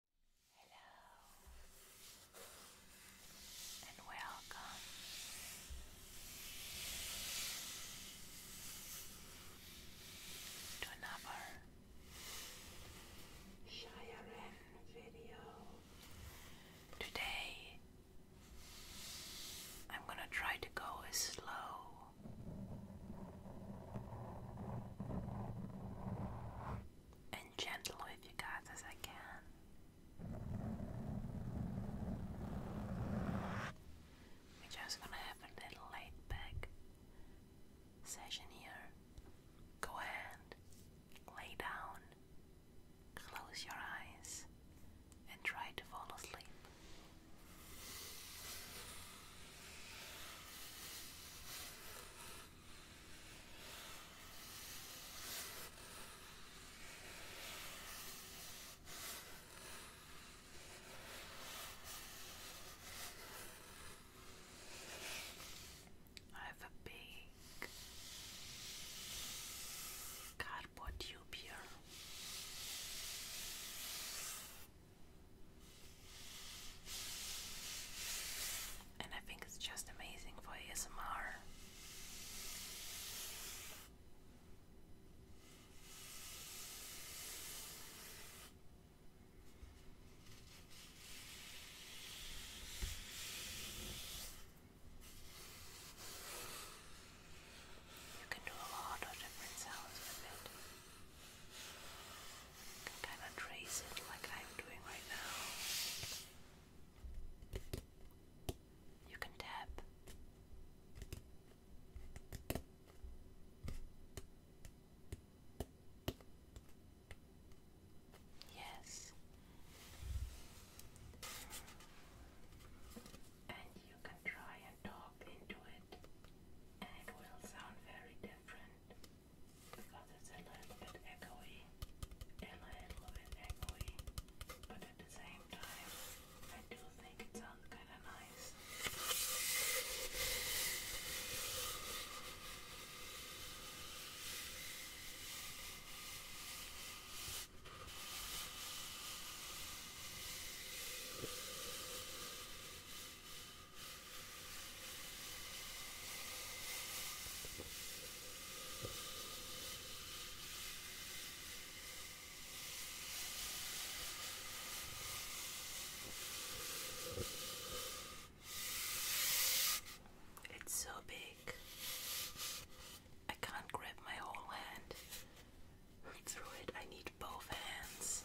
Hello and welcome. To another Shiren video. Today I'm gonna try to go as slow and gentle with you guys as I can. We're just gonna have a little laid back session here. Go ahead, lay down, close your eyes, and try to fall asleep. I have a big cardboard tube here. And I think it's just amazing for ASMR. You can do a lot of different sounds with it can kind of trace it like I'm doing right now. You can tap. Yes. And you can try and talk into it, and it will sound very different because it's a little bit echoey, a little bit echoey, but at the same time, I do think it sounds kind of nice. It's so big. I can't grab my whole hand through it. I need both hands.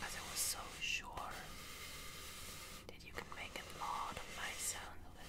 As I was so sure that you can make a lot of nice sound with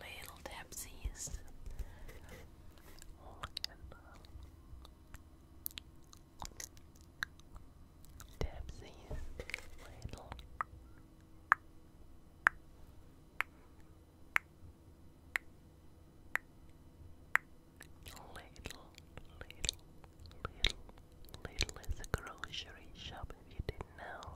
Little Debsies. Debsies. Little, little, little, little is a grocery shop if you didn't know.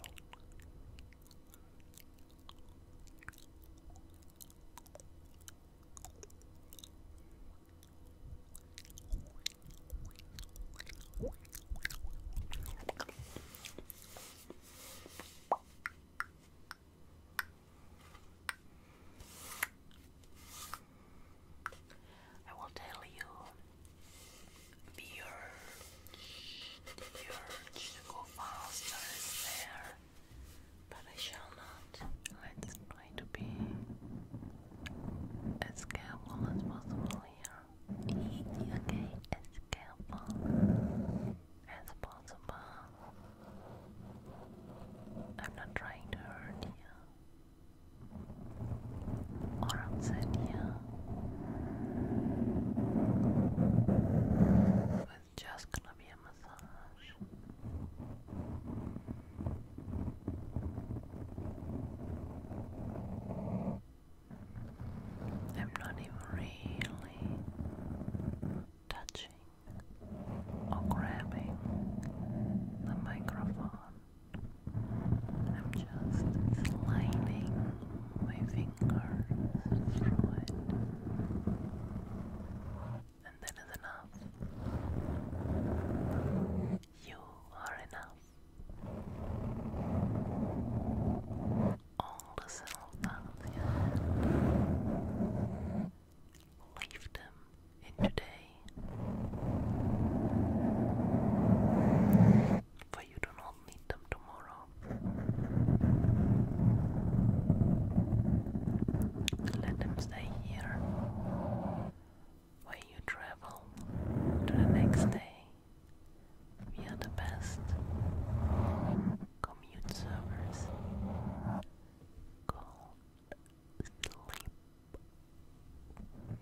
I will tell you fear, the urge to go faster is there, but I shall not. Let's try to be as careful as possible here. Okay, as careful as possible. I'm not trying to hurt you or upset you. It's just gonna be a massage. I'm not even really touching or grabbing the microphone. I'm just sliding my fingers through it. And that is enough. You are enough. All the self-doubt leave them in today. For you do not i them tomorrow. Let them stay here where you travel to the next day. We are the best commute servers. Go sleep.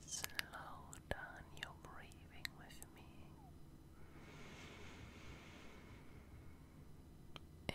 Let's slow down your breathing with me. In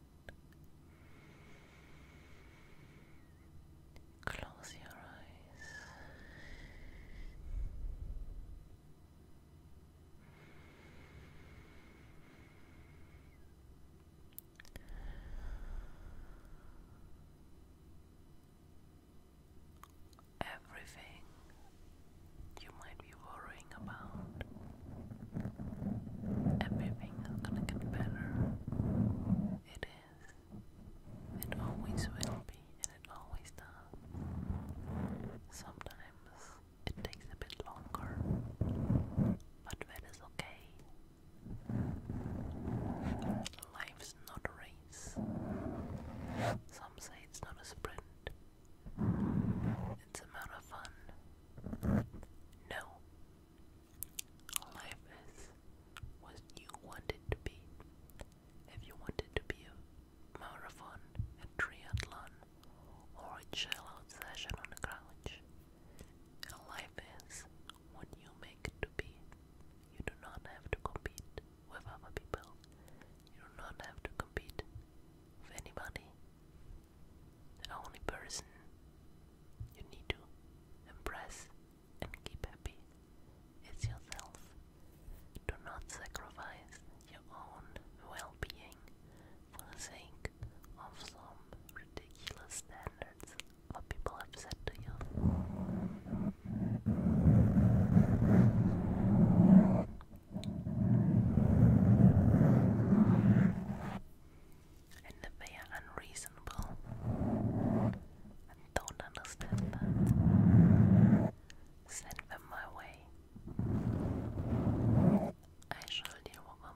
Close your eyes. Everything you might be worrying about Everything is gonna get better. It is. It always will be, and it always does. Sometimes it takes a bit longer, but that is okay. Life's not a race. Some say it's not a sprint. It's a marathon. No, Life is what you want it to be. If you want it to be a marathon, a triathlon, or a chill session on the couch, life is what you make it to be. You do not have to compete with other people. You do not have to compete with anybody the only person you need to impress and keep happy is yourself. Do not sacrifice your own well being for the sake of some ridiculous standards what people have set to you and that they are unreasonable and don't understand Send them my way. I shall deal with them.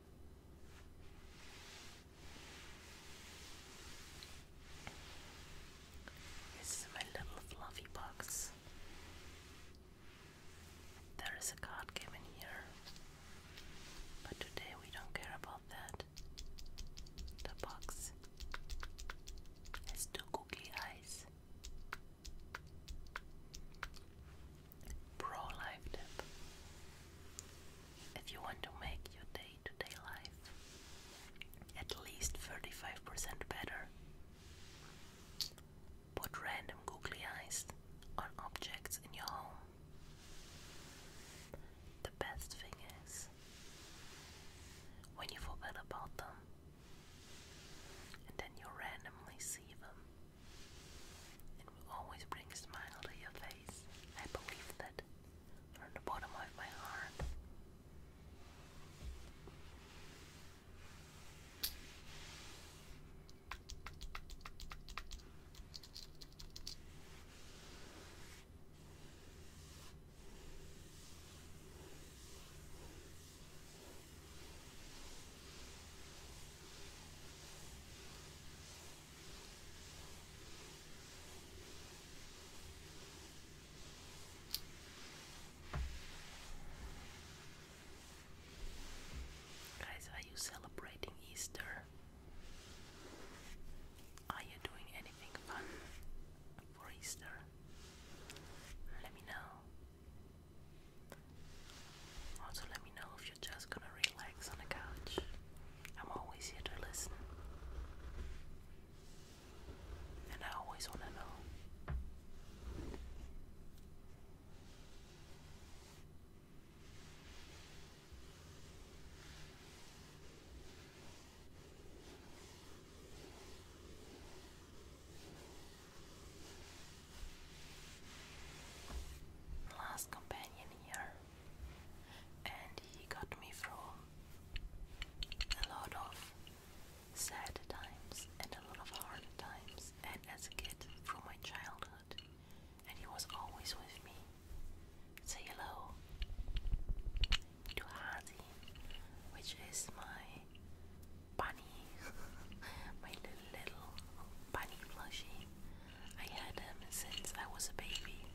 This is my little fluffy box. There is a card game here, but today we don't care about that. The box has two googly eyes pro life tip. If you want to make your day to day life at least 35% better, put random googly eyes on objects in your home. The best thing is, when you forget about them and then you randomly see them, it will always bring a smile to your face. I believe that from the bottom of my heart. Guys, are you celebrating Easter? Are you doing anything fun for Easter? Let me know. Also, let me know if you're just gonna relax on the couch. I'm always here to listen. And I always want to know last companion here, and he got me through a lot of sad times and a lot of hard times, and as a kid from my childhood, and he was always with me. Say hello to Hazi, which is my bunny, my little bunny plushie. I had him since I was a baby,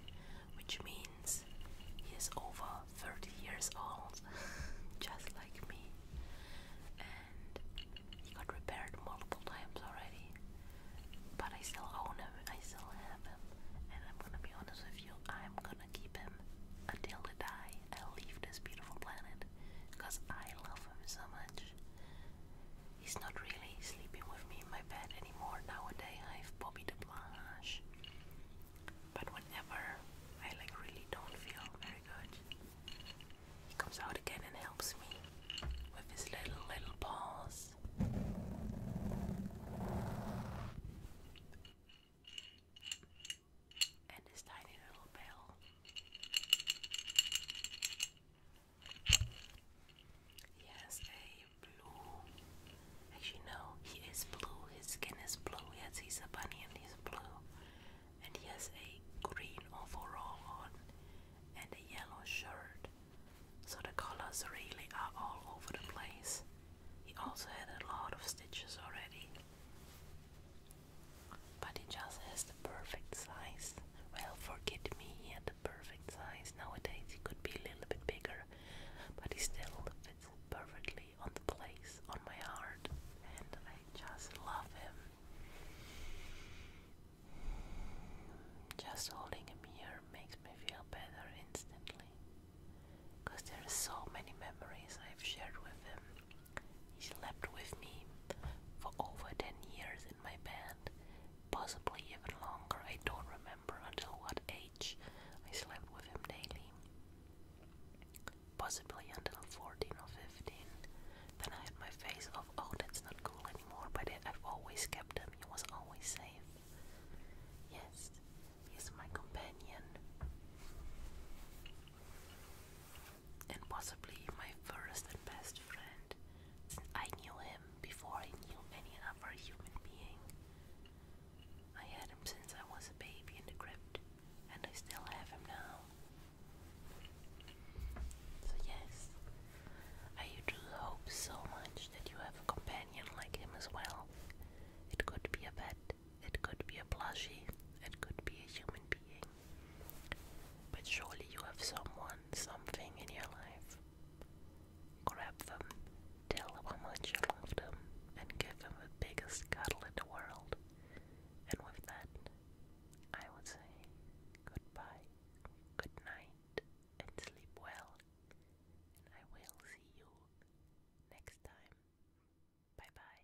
which means he is over 30 years old, just like me. And he got repaired multiple times already, but I still own him, I still have him. And I'm gonna be honest with you, I'm gonna keep him until I die and leave this beautiful planet because I love him so much. He's not really sleeping with me in my bed anymore nowadays. I have Bobby the Blanche. But whenever I like really don't feel very good, he comes out again and helps me with his little little paws. And his tiny little bell. He has a blue. Actually, no, he is blue. His skin is blue. Yes, he's a bunny and he's blue. And he has a green overall on and a yellow shirt. So the colors really are all over the place. He also had a lot of stitches already. But he just has the perfect size. Well, forget me, he had the perfect size. Nowadays he could be a little bit bigger, but he still fits perfectly on the place, on my heart, and I just love him. Just holding him here makes me feel better instantly. Because there are so many memories I've shared with him, he slept with me for over 10 years in my band, possibly even longer. I don't remember until what age I slept with him daily. Possibly until 14 or 15. Then I had my face of, oh, that's not cool anymore, but I've always kept him. He was always safe. Yes, he's my companion and possibly my first and best friend since I knew him before I knew any other human being. I had him since I was a baby in the crypt, and I still have him now. So, yes, I do hope so much that you have a companion like him as well. It could be a pet, it could be a plushie, it could be a human being. But surely you have someone, something in your life. Grab them, tell them how much you love them, and give them the biggest cuddle in the world. And with that, I would say goodbye, good night, and sleep well. And I will see you next time. Bye bye.